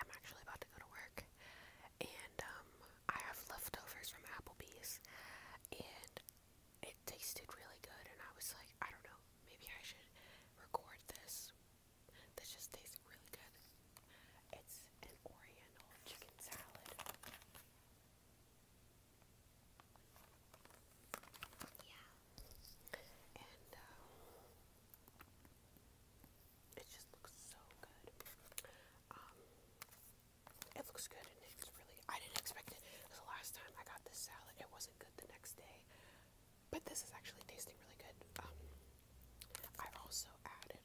I'm actually about to go to work and um, I have leftovers from Applebee's and it tasted really good and I was like, I don't know, maybe I should record this. This just tastes really good. It's an oriental chicken salad. Yeah. And uh, it just looks so good. Um, it looks good and it's really, I didn't expect it. The last time I got this salad, it wasn't good the next day. But this is actually tasting really good. Um, I also added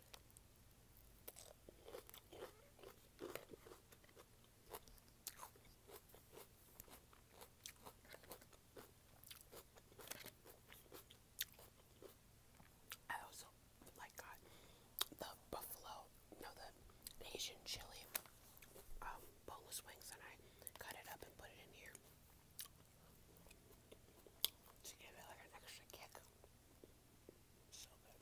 I also like got the buffalo, no, the Asian chili um, boneless wings, and I cut it up and put it in here to give it like an extra kick. So good.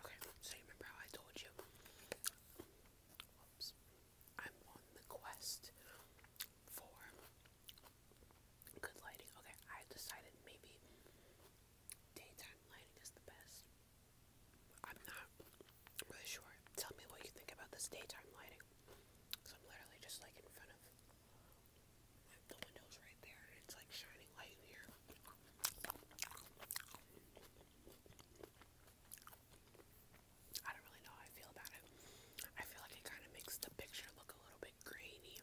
Okay, so you remember how I told you? I'm on the quest for good lighting. Okay, I decided maybe daytime lighting is the best. I'm not really sure. Tell me what you think about this daytime lighting. Because I'm literally just like in front of the windows right there, and it's like shining light here. I don't really know how I feel about it. I feel like it kind of makes the picture look a little bit grainy.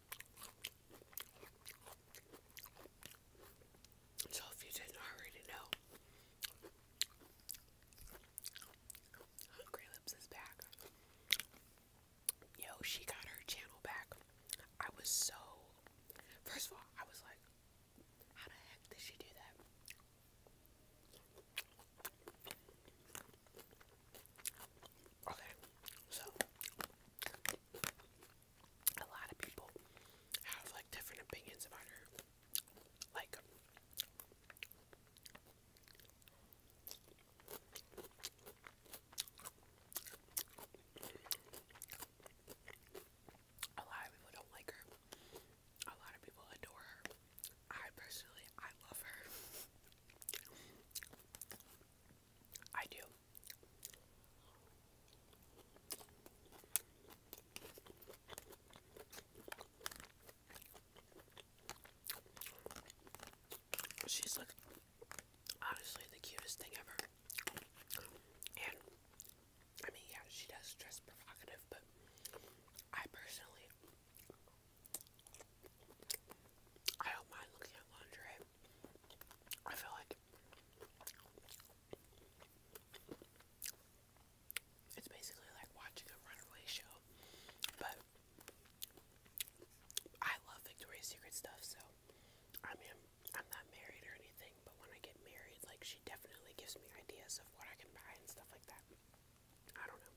So, if you didn't already know, Hungry Lips is back. Yo, she got her channel back. I was so. First of all, I was like, how the heck did she do that? Okay, so a lot of people have like different opinions about her. Like, a lot of people don't like her. A lot of people adore her. I personally, I love her. I do. She's like honestly the cutest thing ever. And I mean, yeah, she does dress provocative, but I personally I don't mind looking at lingerie. I feel like it's basically like watching a runaway show, but I love Victoria's Secret stuff, so I mean, I'm not married or anything, but when I get married, like, she definitely gives me ideas of what I can buy and stuff like that. I don't know.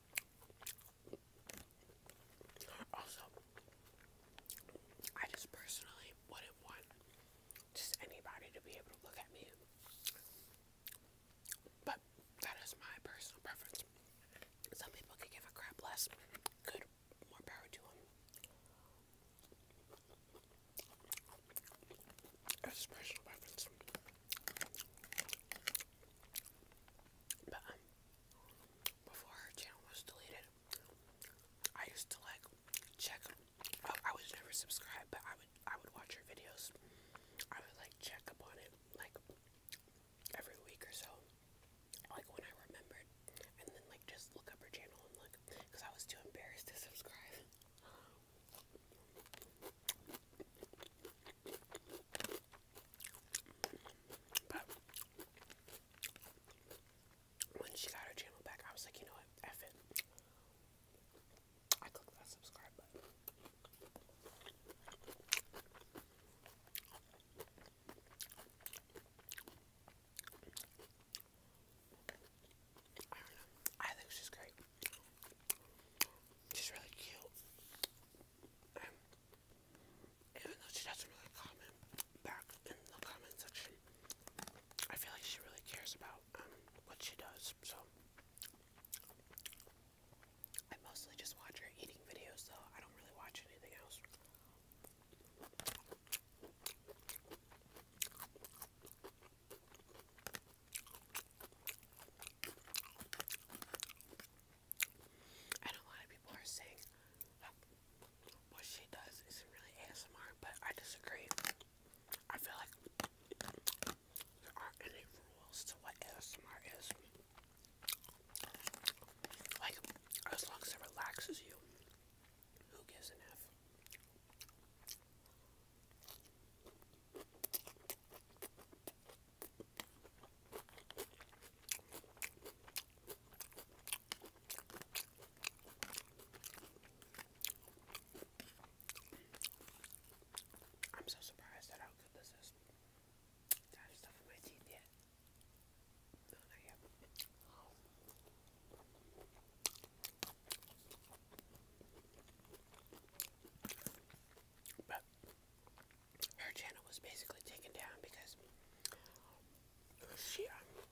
Also, I just personally wouldn't want just anybody to be able to look at me. But that is my personal preference. Some people could give a crap less. Good, more power to them. That's personal preference. But um, before her channel was deleted, I used to like check. Well, I was never subscribed, but I would I would watch her videos. I would like check up on it like every week or so, like when I remembered, and then like just look up her channel and look because I was too embarrassed to subscribe when she got her channel back, I was like, you know what? F it. I clicked that subscribe button. I think she's great. She's really cute. Um, even though she doesn't really comment back in the comment section, I feel like she really cares about um, what she does. So I mostly just watch her eating videos, though. I don't really watch anything else a lot of people are saying what she does isn't really ASMR, but I disagree. I feel like there aren't any rules to what ASMR is. Like, as long as it relaxes you, who gives an I'm so surprised at how good this is. I stuff in my teeth yet. No, not yet. But her channel was basically taken down because she um,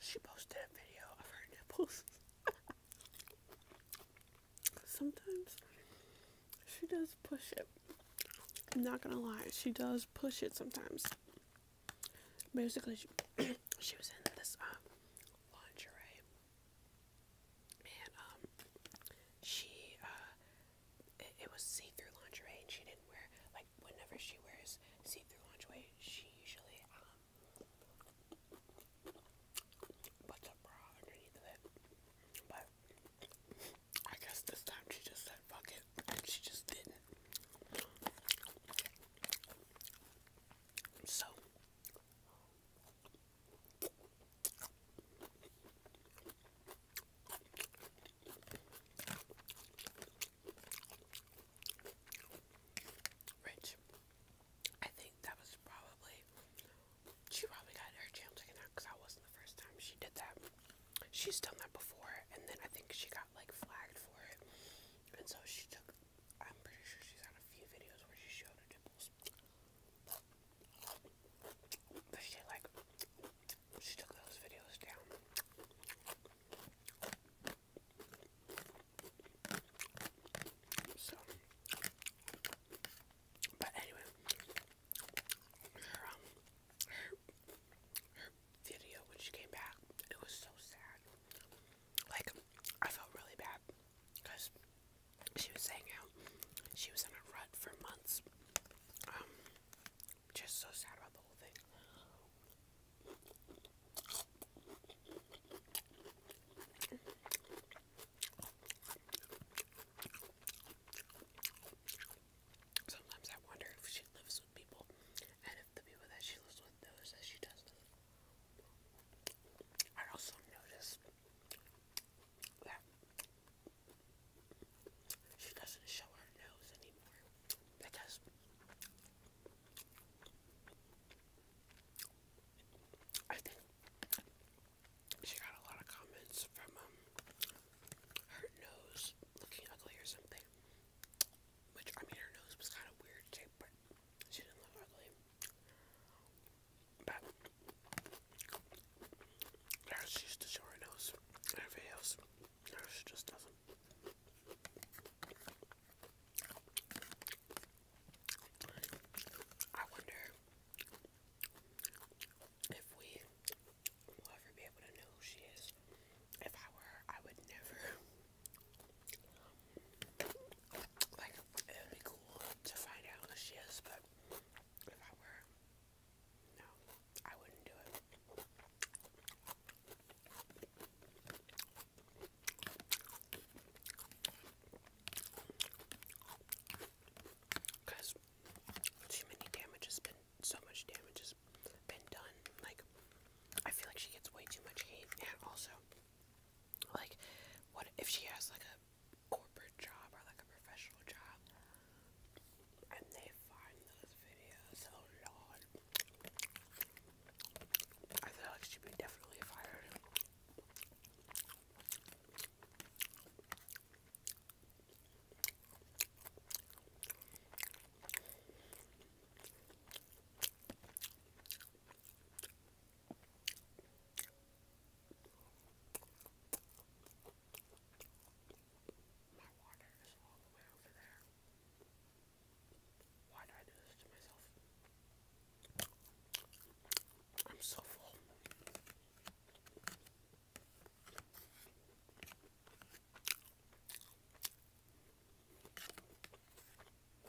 she posted a video of her nipples. Sometimes she does push it. I'm not gonna lie, she does push it sometimes. Basically, she, she was in this um, lingerie. And um she uh it, was see-through lingerie and she didn't wear like whenever she wears see-through lingerie she usually um puts a bra underneath it. But I guess this time she just said fuck it and she just didn't. So Rich. I think that was probably she probably got her jam taken out because that wasn't the first time she did that. She's done that before, and then I think she got like flagged for it, and so she took I'm pretty sure she's had a few videos where she showed her nipples. But she like she took those videos down. So but anyway her um her, her video when she came back it was so sad like I felt really bad because she was saying how she was in a rut for months. Um, just so sad about the whole thing. Sometimes I wonder if she lives with people and if the people that she lives with knows that she does. I also noticed that she doesn't show her nose anymore because I think she got a lot of comments from um, her nose looking ugly or something. Which I mean, her nose was kind of weird too, but she didn't look ugly. But she used to show her nose she just doesn't. I wonder if we will ever be able to know who she is. If I were her, I would never Like, it would be cool to find out who she is, but if I were, no, I wouldn't do it. Because too many damage has been, so much damage has been done. Like, I feel like she gets way too much hate, and also, like, what if she has like a corporate job or like a professional job and they find those videos? Oh lord. I feel like she'd be definitely fired. My water is all the way over there. Why do I do this to myself? I'm so full.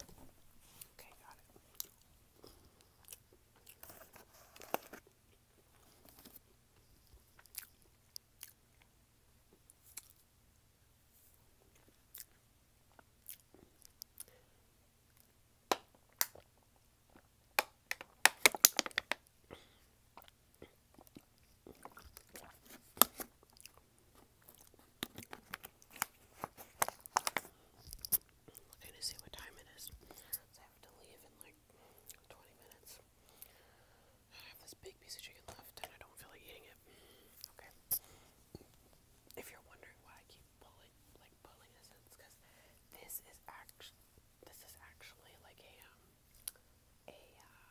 Okay, got it. Looking to see what time it is. I have to leave in like 20 minutes. I have this big piece of chicken left and I don't feel like eating it. Okay. If you're wondering why I keep pulling, like pulling this, it's because this is actually, this is actually like a, um, a uh,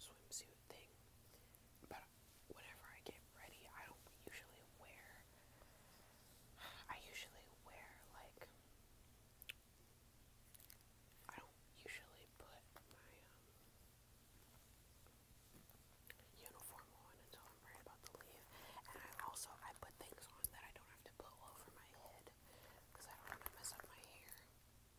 swimsuit thing. But whenever I get ready, I don't usually wear. I usually wear like. I don't usually put my um, uniform on until I'm right about to leave, and I also I put things on that I don't have to put over my head because I don't want to mess up my hair.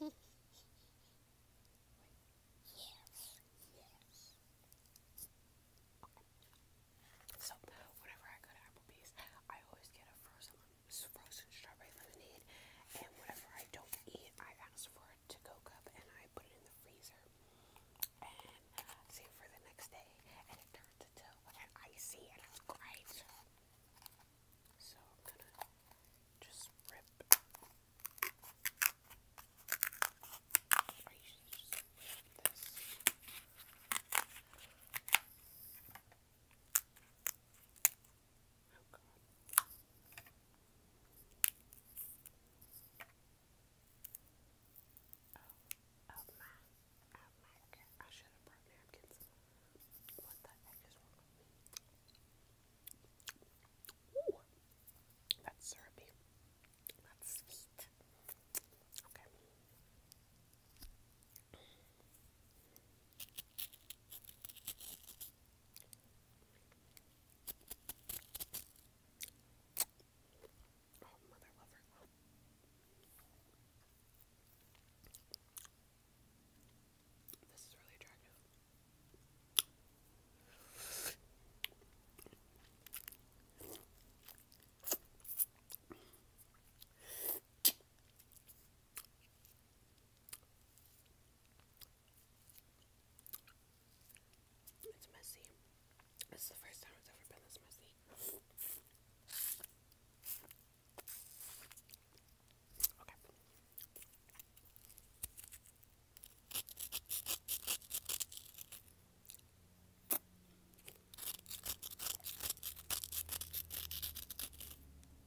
yes, yes. So, whenever I go to Applebee's, I always get a frozen frozen strawberry lemonade, and whatever I don't eat, I ask for a to-go cup, and I put it in the freezer, and uh, save for the next day, and it turns into an icy, and it's great. So I'm gonna just rip. I usually just rip this. Oh my, oh my, okay. I should have brought napkins. What the heck is wrong with me? Ooh, that's syrupy. That's sweet. Okay. Oh, mother lover. This is really attractive. It's messy. This is the first time it's ever been this messy. Okay.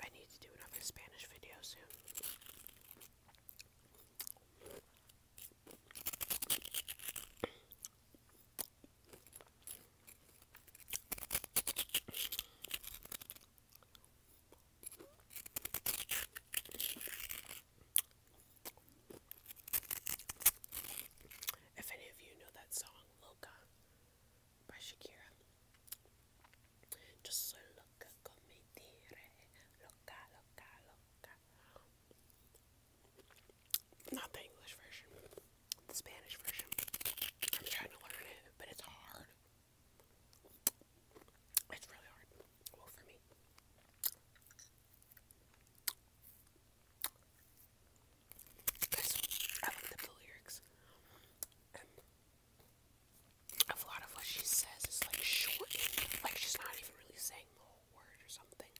I need to do another Spanish video soon. If any of you know that song, Loca, by Shakira. Just English version, the Spanish version. I'm trying to learn it, but it's hard. It's really hard. Well, for me. This, I looked the lyrics, a lot of what she says is like shortened, like she's not even really saying the whole word or something.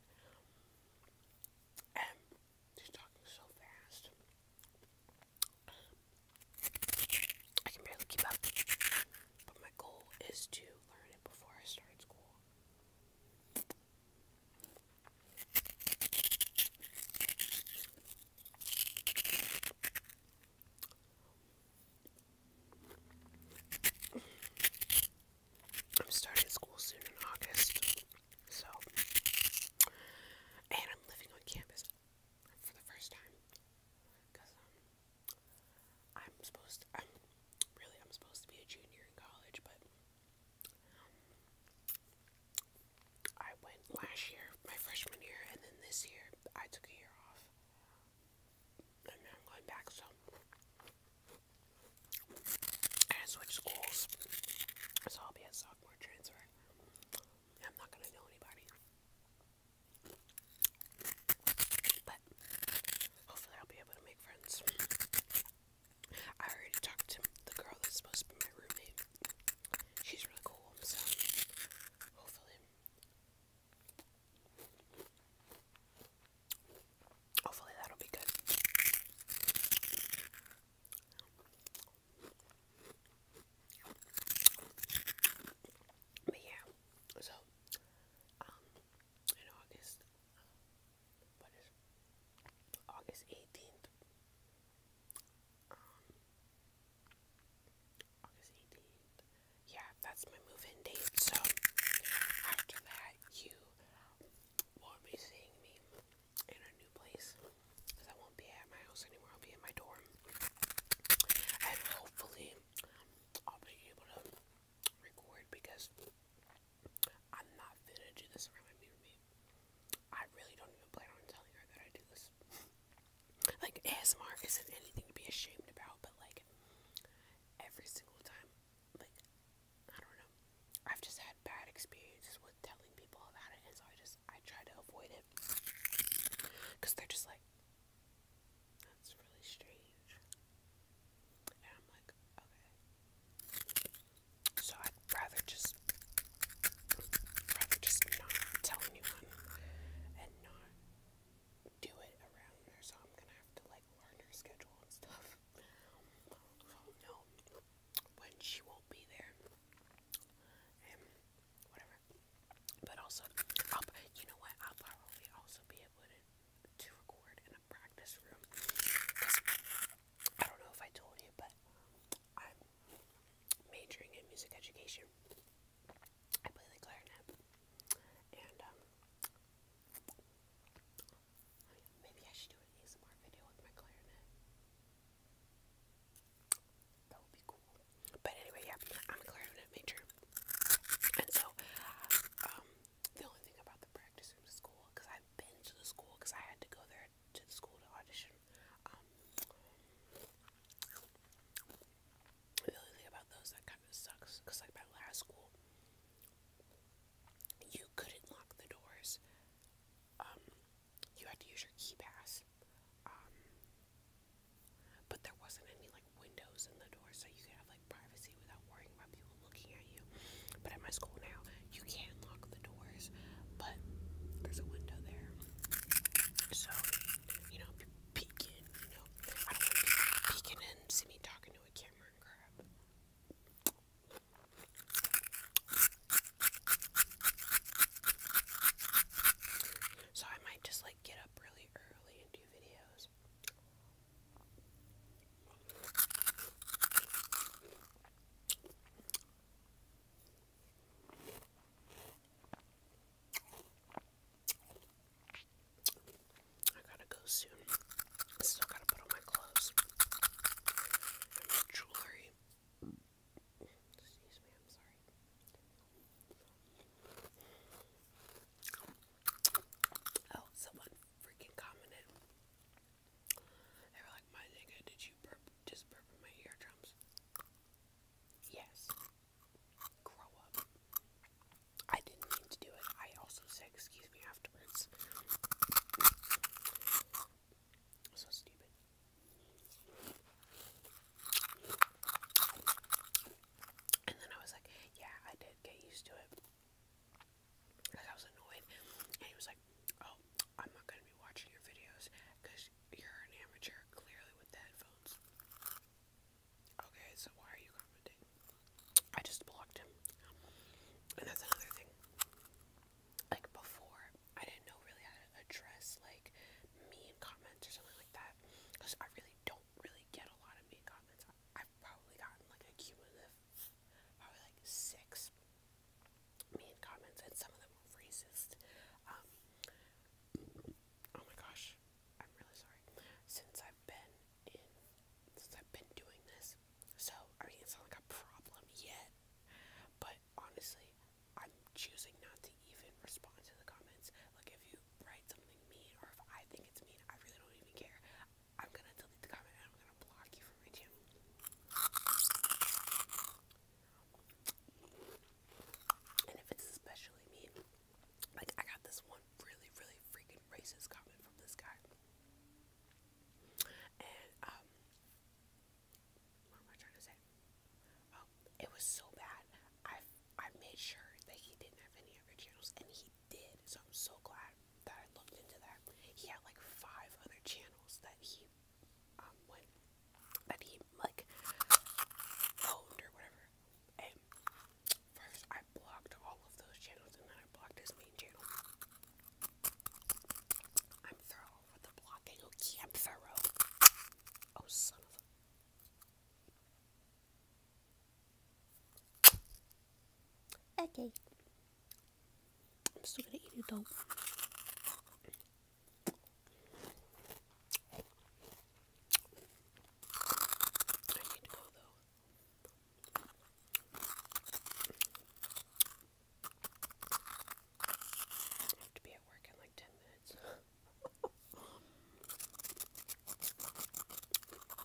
she's talking so fast. I can barely keep up. But my goal is to learn it before I start school. I'm starting school soon in August, so and I'm living on campus for the first time I'm supposed to, I'm really I'm supposed to be a junior in college, but um, I went last year, my freshman year, and then this year I took a year off. I'm going back, so I switched schools. So I'll be a sophomore transfer. I'm not gonna know anybody. But hopefully, I'll be able to make friends. I already talked to the girl that's supposed to be my roommate. She's really cool, so hopefully, hopefully that'll be good. But yeah, so um, in August. Uh, what is August 18th? Um, August 18th. Yeah, that's my move in date. So after that, you won't be seeing me in a new place because I won't be at my house anymore. I'll be in my dorm. And hopefully, I'll be able to record because I'm not gonna do this around my mirror. Me. I really don't even plan on telling her that I do this. like ASMR isn't anything to be ashamed about, but like every single time, like I don't know. I've just had bad experiences with telling people about it, and so I just I try to avoid it because they're just like that's really strange. And I'm like, okay. So I'd rather just rather just not tell anyone and not do it around her, so I'm gonna have to like learn her schedule and stuff. So oh, no when she won't be there. And whatever. But also you know what, I'll probably also be able to to record in a practice room. I don't know if I told you, but um, I'm majoring in music education. I play the clarinet, and um, maybe I should do an ASMR video with my clarinet. That would be cool. But anyway, yeah, I'm a clarinet major, and so um, the only thing about the practice room is school, because I've been to the school, because I had to go there to the school to audition. Um, the only thing about those that kind of sucks, because like my last school, you couldn't lock the doors. Um, you had to use your key pass. Um, but there wasn't any like windows in the door so you can have like privacy without worrying about people looking at you. But at my school now, you can lock the doors, but there's a window there. So, you know, people peek in, you know. I don't want people peeking in and see me talking to a camera and crap. So I might just like get up really early and do videos. I gotta go soon. I still gotta put on my clothes and my jewelry. Excuse me, I'm sorry. Oh, someone freaking commented. They were like, my nigga, did you burp, just burp my eardrums? Yes. Grow up. I didn't mean to do it. I also said, excuse me afterwards. So stupid. And then I was like, yeah, I did get used to it. Like I was annoyed, and he was like, "Oh, I'm not gonna be watching your videos because you're an amateur, clearly with the headphones." Okay, so why are you commenting? I just blocked him, and that's another thing. Like before, I didn't know really how to address like mean comments or something like that because I really don't really get a lot of mean comments i probably gotten like a cumulative, probably like six mean comments, and some of them were racist. Um, oh my gosh, I'm really sorry. Since I've been in, since I've been doing this, so are you it's not like a problem yet, but honestly, I'm choosing not to even respond to the comments. Like, if you write something mean, or if I think it's mean, I really don't even care. I'm gonna delete the comment I'm gonna block you from my And if it's especially mean, like I got this one really, really freaking racist comment from this guy. And um what am I trying to say? Oh, it was so bad. I I made sure that he didn't have any other channels and he did. So I'm so glad that I looked into that. He had like five other channels that he um went that he like owned or whatever. And first I blocked all of those channels and then I blocked his main channel. I'm thorough with the blocking. Okay, oh, I'm thorough. Oh son of Okay. I'm still gonna eat it though. I need to go though. I have to be at work in like 10 minutes.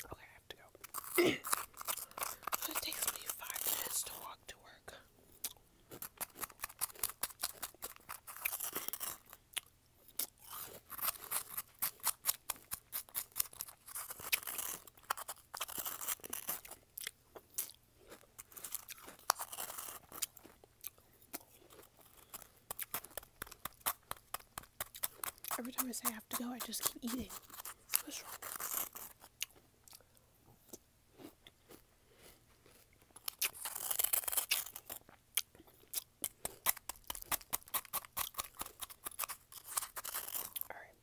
Okay, I have to go. it takes me five minutes to walk to work. Every time I say I have to go, I just keep eating. All right.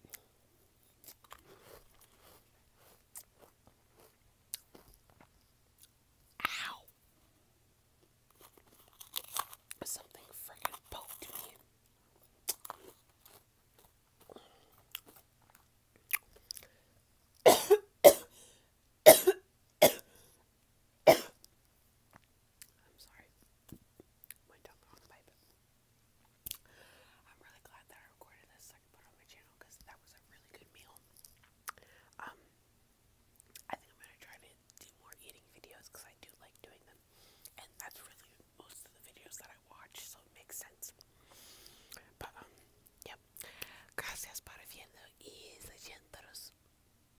Ow! Something freaking poked me. I'm sorry. Went down the wrong pipe. I'm really glad that I recorded this I can put on my channel because that was a really good meal. Um, I think I'm gonna try to do more eating videos because I do like doing them, and that's really most of the videos that I watch, so it makes sense. But um, yep. Gracias por viendo